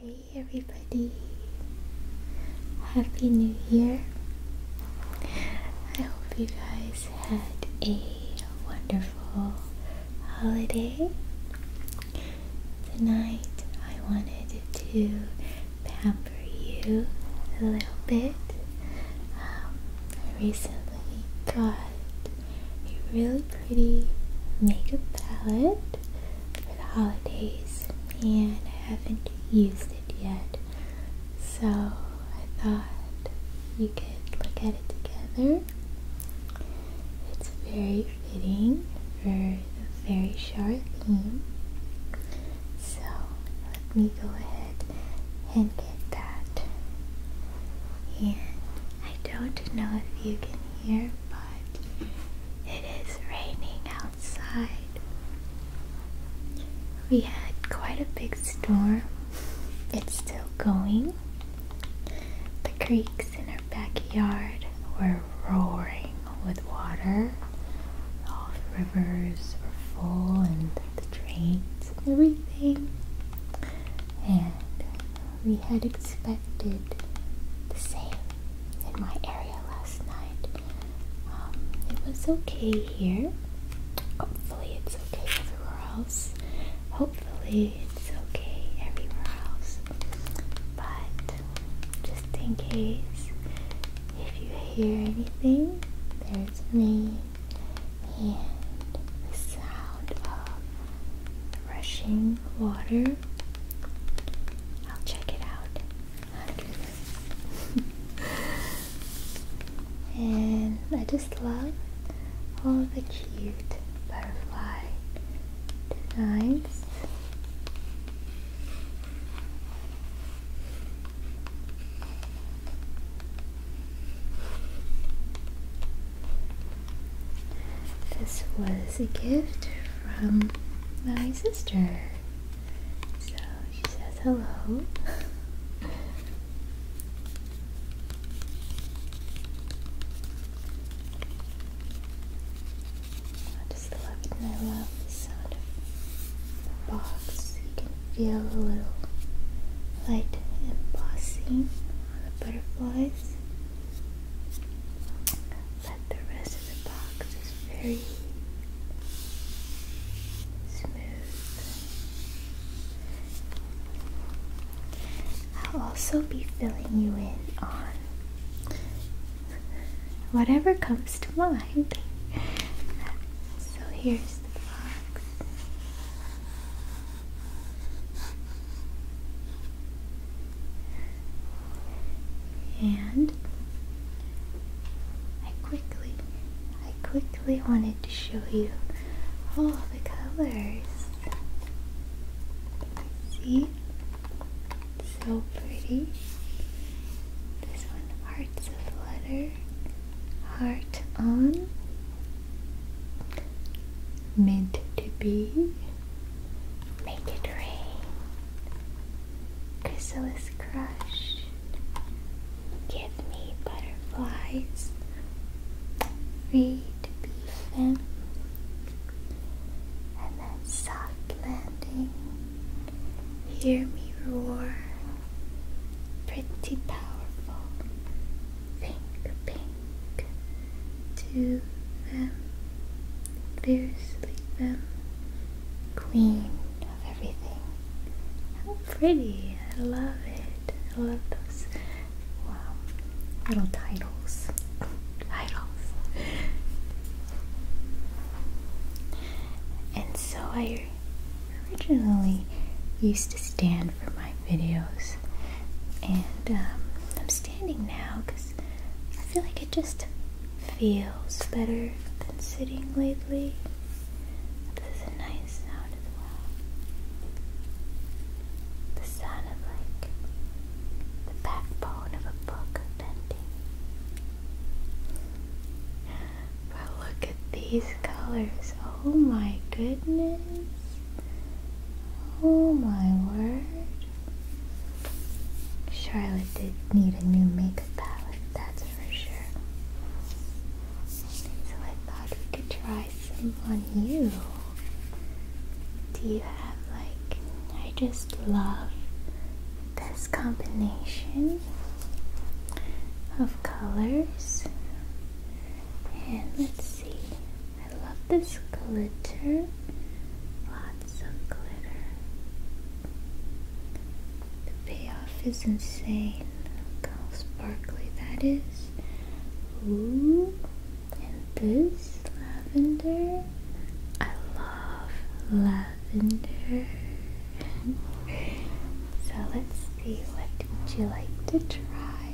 Hey everybody, Happy New Year! I hope you guys had a wonderful holiday. Tonight I wanted to pamper you a little bit. Um, I recently got a really pretty makeup palette holidays and I haven't used it yet. So I thought you could look at it together. It's very fitting for a very short theme. So let me go ahead and get that. And I don't know if you can hear, it is raining outside. We had quite a big storm. It's still going. The creeks in our backyard were roaring with water. All the rivers were full and the drains and everything. And we had expected the same in my area last night. Um, it was okay here. Hopefully, it's okay everywhere else. Hopefully, it's okay everywhere else. But just in case, if you hear anything, there's me and the sound of rushing water. I'll check it out and I just love all the cute butterfly designs. This was a gift from my sister. So she says hello. I just love and I love the sound of the box. You can feel a little light embossing on the butterflies but the rest of the box is very smooth. I'll also be filling you in on whatever comes to mind. So here's the box. And I quickly, I quickly wanted to show you all the colors. See? So pretty. This one, hearts of letter, heart on, meant to be. Make it rain. Chrysalis crush. Give me butterflies. Read beefin. And then soft landing. Hear me roar. Pretty powerful. Think pink to them, fiercely them, queen of everything. How pretty! I love it. I love those wow little titles. titles. And so I originally used to stand for my videos, and um, I'm standing now because I feel like it just feels better than sitting lately. There's a nice sound as well. The sound of like the backbone of a book bending. But look at these colors. Oh my goodness. Oh my word. Charlotte did need a new makeup palette, that's for sure. So I thought we could try some on you. Do you have like, I just love this combination of colors. And let's see, I love this glitter. Lots of glitter. The payoff is insane. sparkly that is. Ooh, and this lavender. I love lavender. so let's see what would you like to try.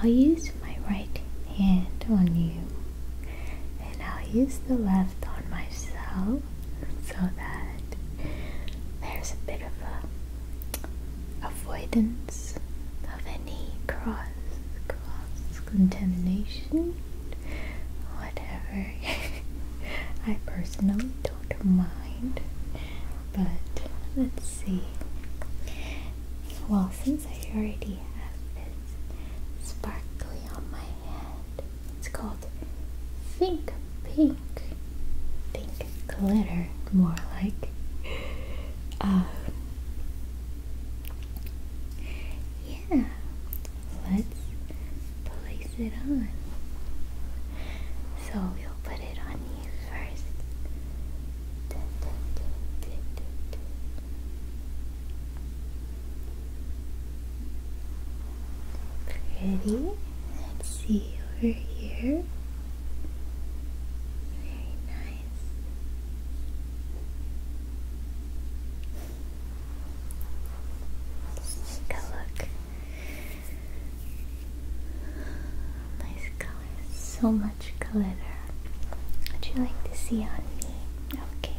I'll use my right hand on you and I'll use the left on myself so that there's a bit of a avoidance of any cross cross contamination whatever I personally don't mind but let's see well since I already have this sparkly on my hand, it's called Think Pink. Pink glitter, more like. Uh, yeah, let's place it on. So we'll put it on first. Pretty. Let's see over here. Very nice. take a look. Nice color so much glitter. Would you like to see on me? Okay.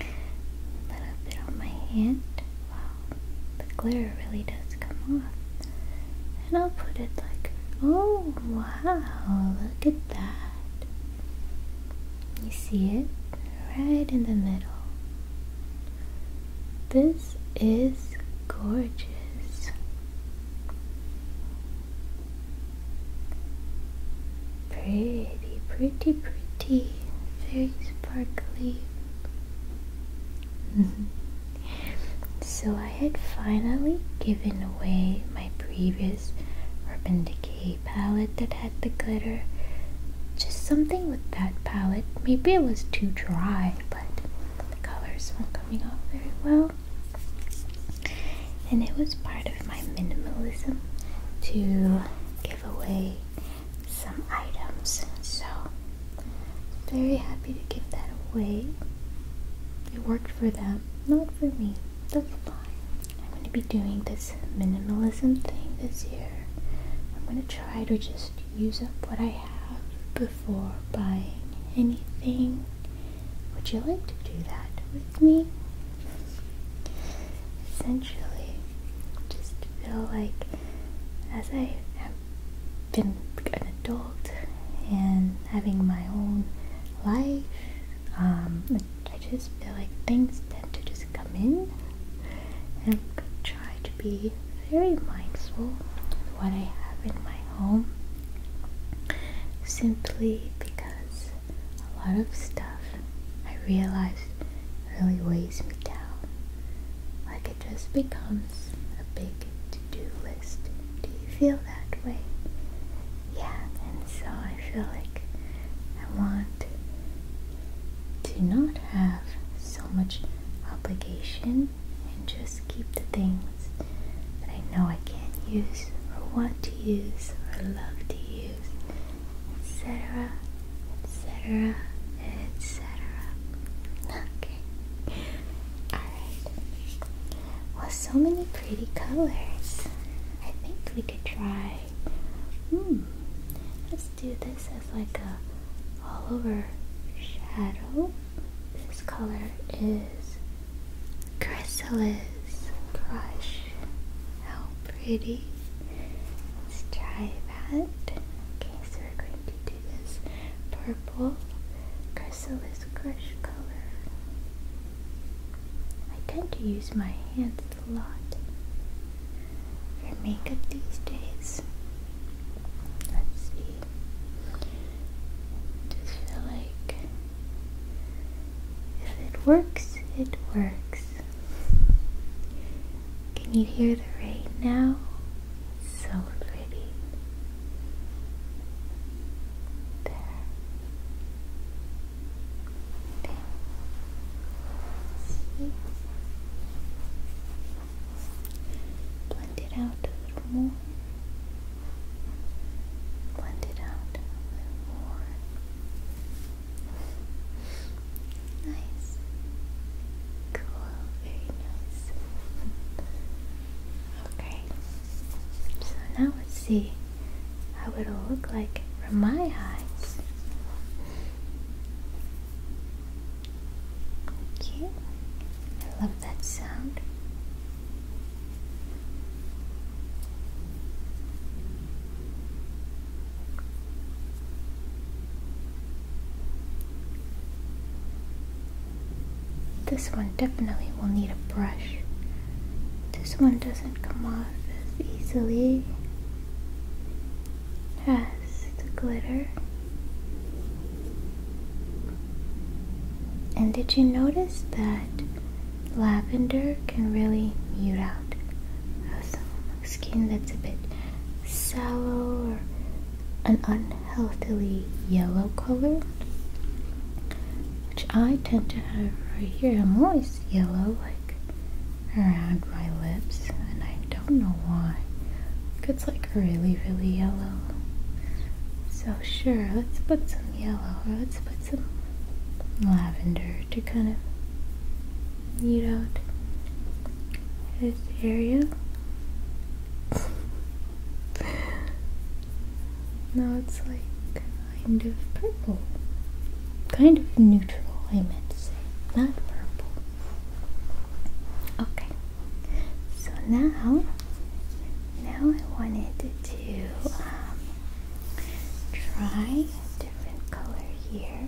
A little bit on my hand. Wow, the glitter really does come off. And I'll put it like, oh wow, look at that. You see it? Right in the middle. This is gorgeous. Pretty, pretty, pretty. Very sparkly. so I had finally given away my previous Urban Decay palette that had the glitter. Just something with that palette. Maybe it was too dry, but the colors weren't coming off very well. And it was part of my minimalism to give away some items. So, very happy to give that away. It worked for them, not for me. That's fine. I'm going to be doing this minimalism thing this year. I'm going to try to just use up what I have before buying anything would you like to do that with me? Essentially, just feel like as I have been an adult and having my own life, um, I just feel like things tend to just come in and try to be very mindful of what I have in my home simply because a lot of stuff I realized really weighs me down. Like it just becomes a big to do list. Do you feel that way? Yeah, and so I feel like I want to not have so much obligation and just keep the things that I know I can't use or want to use or love to use, etc., etc., etc. Okay. Alright. Well, so many pretty colors. I think we could try. Hmm. Let's do this as like a all over shadow. This color is Chrysalis crush. How pretty. Let's try that. Okay, so we're going to do this purple chrysalis crush color. I tend to use my hands a lot for makeup these days. Let's see. Just feel like if it works, it works. Can you hear the rain now? so pretty. There. there. Blend it out a little more blend it out a little more. nice. Cool, very nice. Okay, so now let's see how it'll look like from my eyes. Okay, I love that sound. This one definitely will need a brush. This one doesn't come off as easily as the glitter. And did you notice that lavender can really mute out some skin that's a bit sallow or an unhealthily yellow color? Which I tend to have right here. I'm always yellow, like around my lips, and I don't know why it's like really, really yellow. So, sure, let's put some yellow or let's put some lavender to kind of eat out this area. now it's like kind of purple. Kind of neutral, I meant to say. Not purple. Okay. So now now I wanted to um, try a different color here.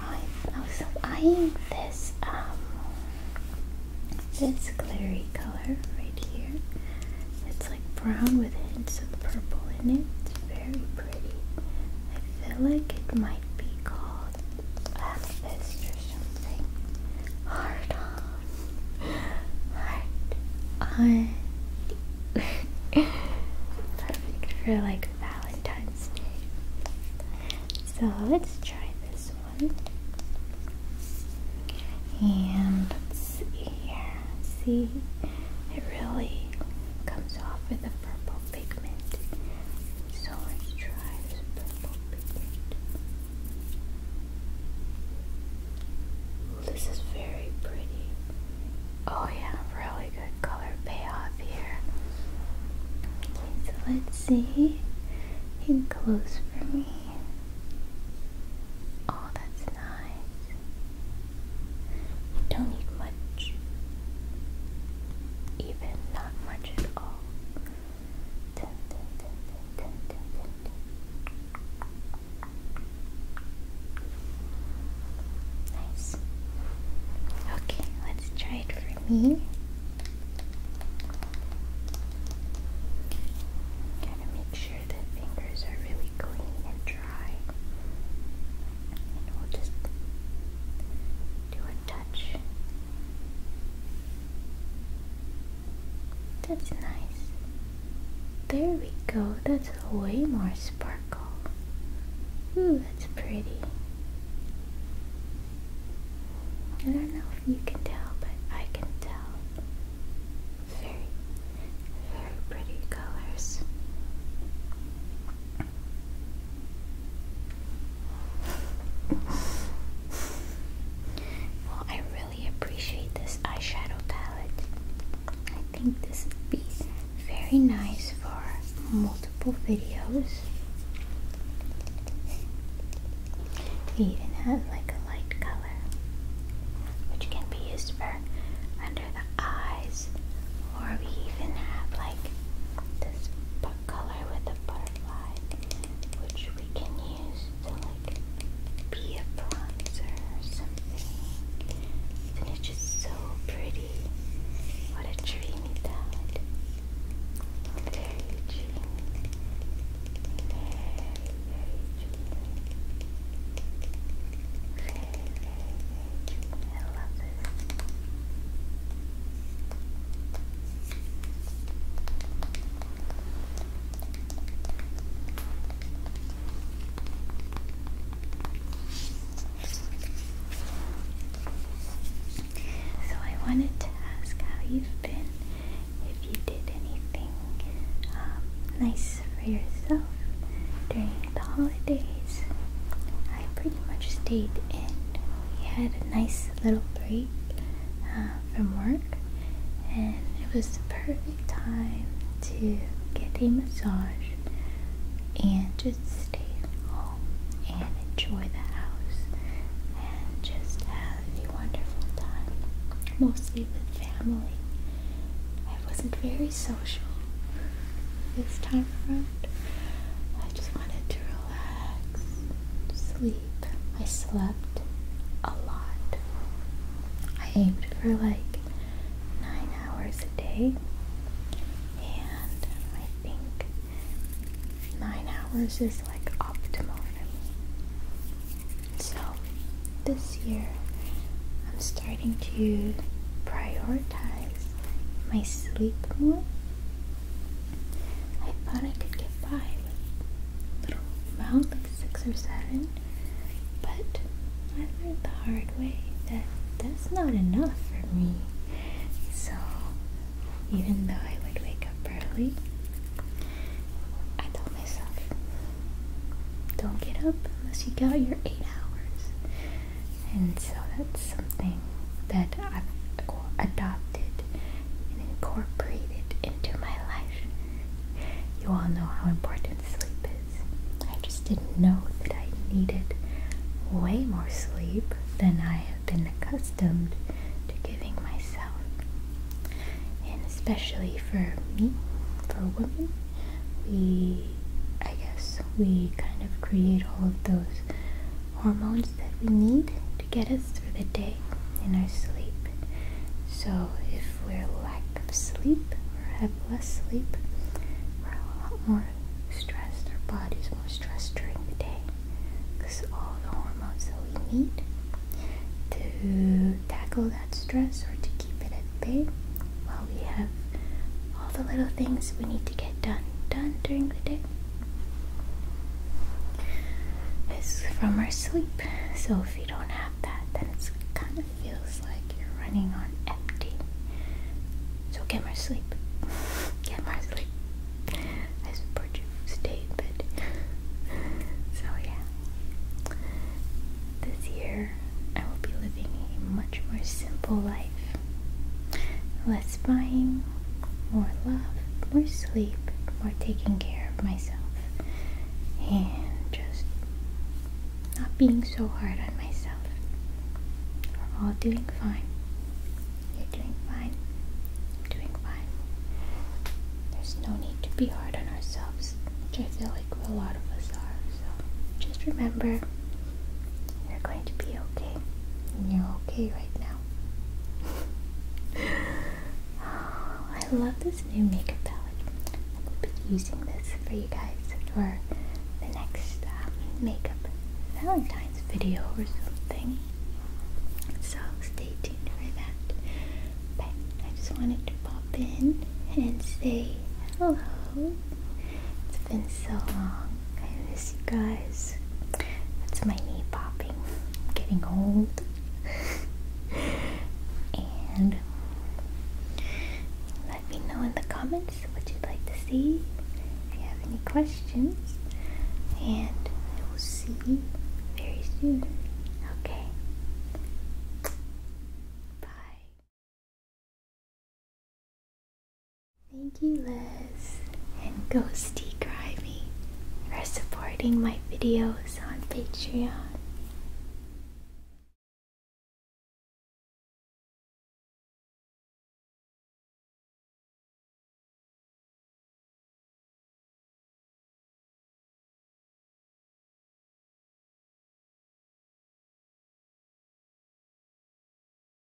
I'm also oh, eyeing this um, this glary color right here. It's like brown with hints of purple in it. It's very pretty. I feel like it might be called amethyst or something. Hard on. Hard on. Perfect for like Valentine's Day. So let's try this one. And let's see it really comes off with a purple pigment. So let's try this purple pigment. This is very pretty. Oh yeah, really good color payoff here. Okay, so let's see. In close for me. Oh, that's nice. You don't need much. Even not much at all. Nice. Okay, let's try it for me. Gotta make sure that fingers are really clean and dry. And we'll just do a touch that's nice. There we go. That's way more sparkle. Ooh, that's pretty. I don't know if you can tell, but I can tell. Very, very pretty colors. Well, I really appreciate this eyeshadow palette. I think this would be very nice for multiple videos. We even have like a light color, which can be used for under the eyes, or we even have like this a color with a butterfly, which we can use to like be a bronzer or something. And it's just so pretty. What a dreamy palette. Very dreamy. Very, very dreamy. Very, very, I love this. So I wanted to ask how you've been, if you did anything um, nice for yourself during the holidays. I pretty much stayed in. We had a nice little break uh, from work, and it was the perfect time to get a massage and just stay home and enjoy the house and just have a wonderful time, mostly with family. I wasn't very social this time around. I just wanted to relax, sleep, I slept a lot. I aimed for like nine hours a day, and I think nine hours is like optimal for me. So this year, I'm starting to prioritize my sleep more I thought I could get by with a little amount, like six or seven, but I learned the hard way that that's not enough for me. So, even though I would wake up early, I told myself, don't get up unless you got your eight hours. And so that's something that I've adopted and incorporated into my life. You all know how important sleep is. I just didn't know that I needed way more sleep than I have been accustomed to giving myself. And especially for me, for women, we, I guess, we kind of create all of those hormones that we need to get us through the day in our sleep. So, if we're lack of sleep or have less sleep, we're a lot more stressed. Our body's more stressed during the day because all the hormones that we need to tackle that stress or to keep it at bay while we have all the little things we need to get done done during the day it is from our sleep. So if you don't have that, then it kind of feels like you're running on empty. So get more sleep. Get more sleep. I support you. Stay in So yeah. This year I will be living a much more simple life. Less satisfying, more love, more sleep, more taking care of myself, and just not being so hard on myself. We're all doing fine. You're doing fine. I'm doing fine. There's no need to be hard on ourselves, which I feel like a lot of us are. So just remember, you're going to be okay. And you're okay right now. Oh, I love this new makeup palette. I will be using this for you guys for the next um, makeup Valentine's video or something. So stay tuned for that. But I just wanted to pop in and say hello. It's been so long. I miss you guys that's my knee popping. I'm getting old. and let me know in the comments what you'd like to see. If you have any questions. And I will see very soon. Okay. Bye. Thank you, love and Ghosty Grimy for supporting my videos on Patreon.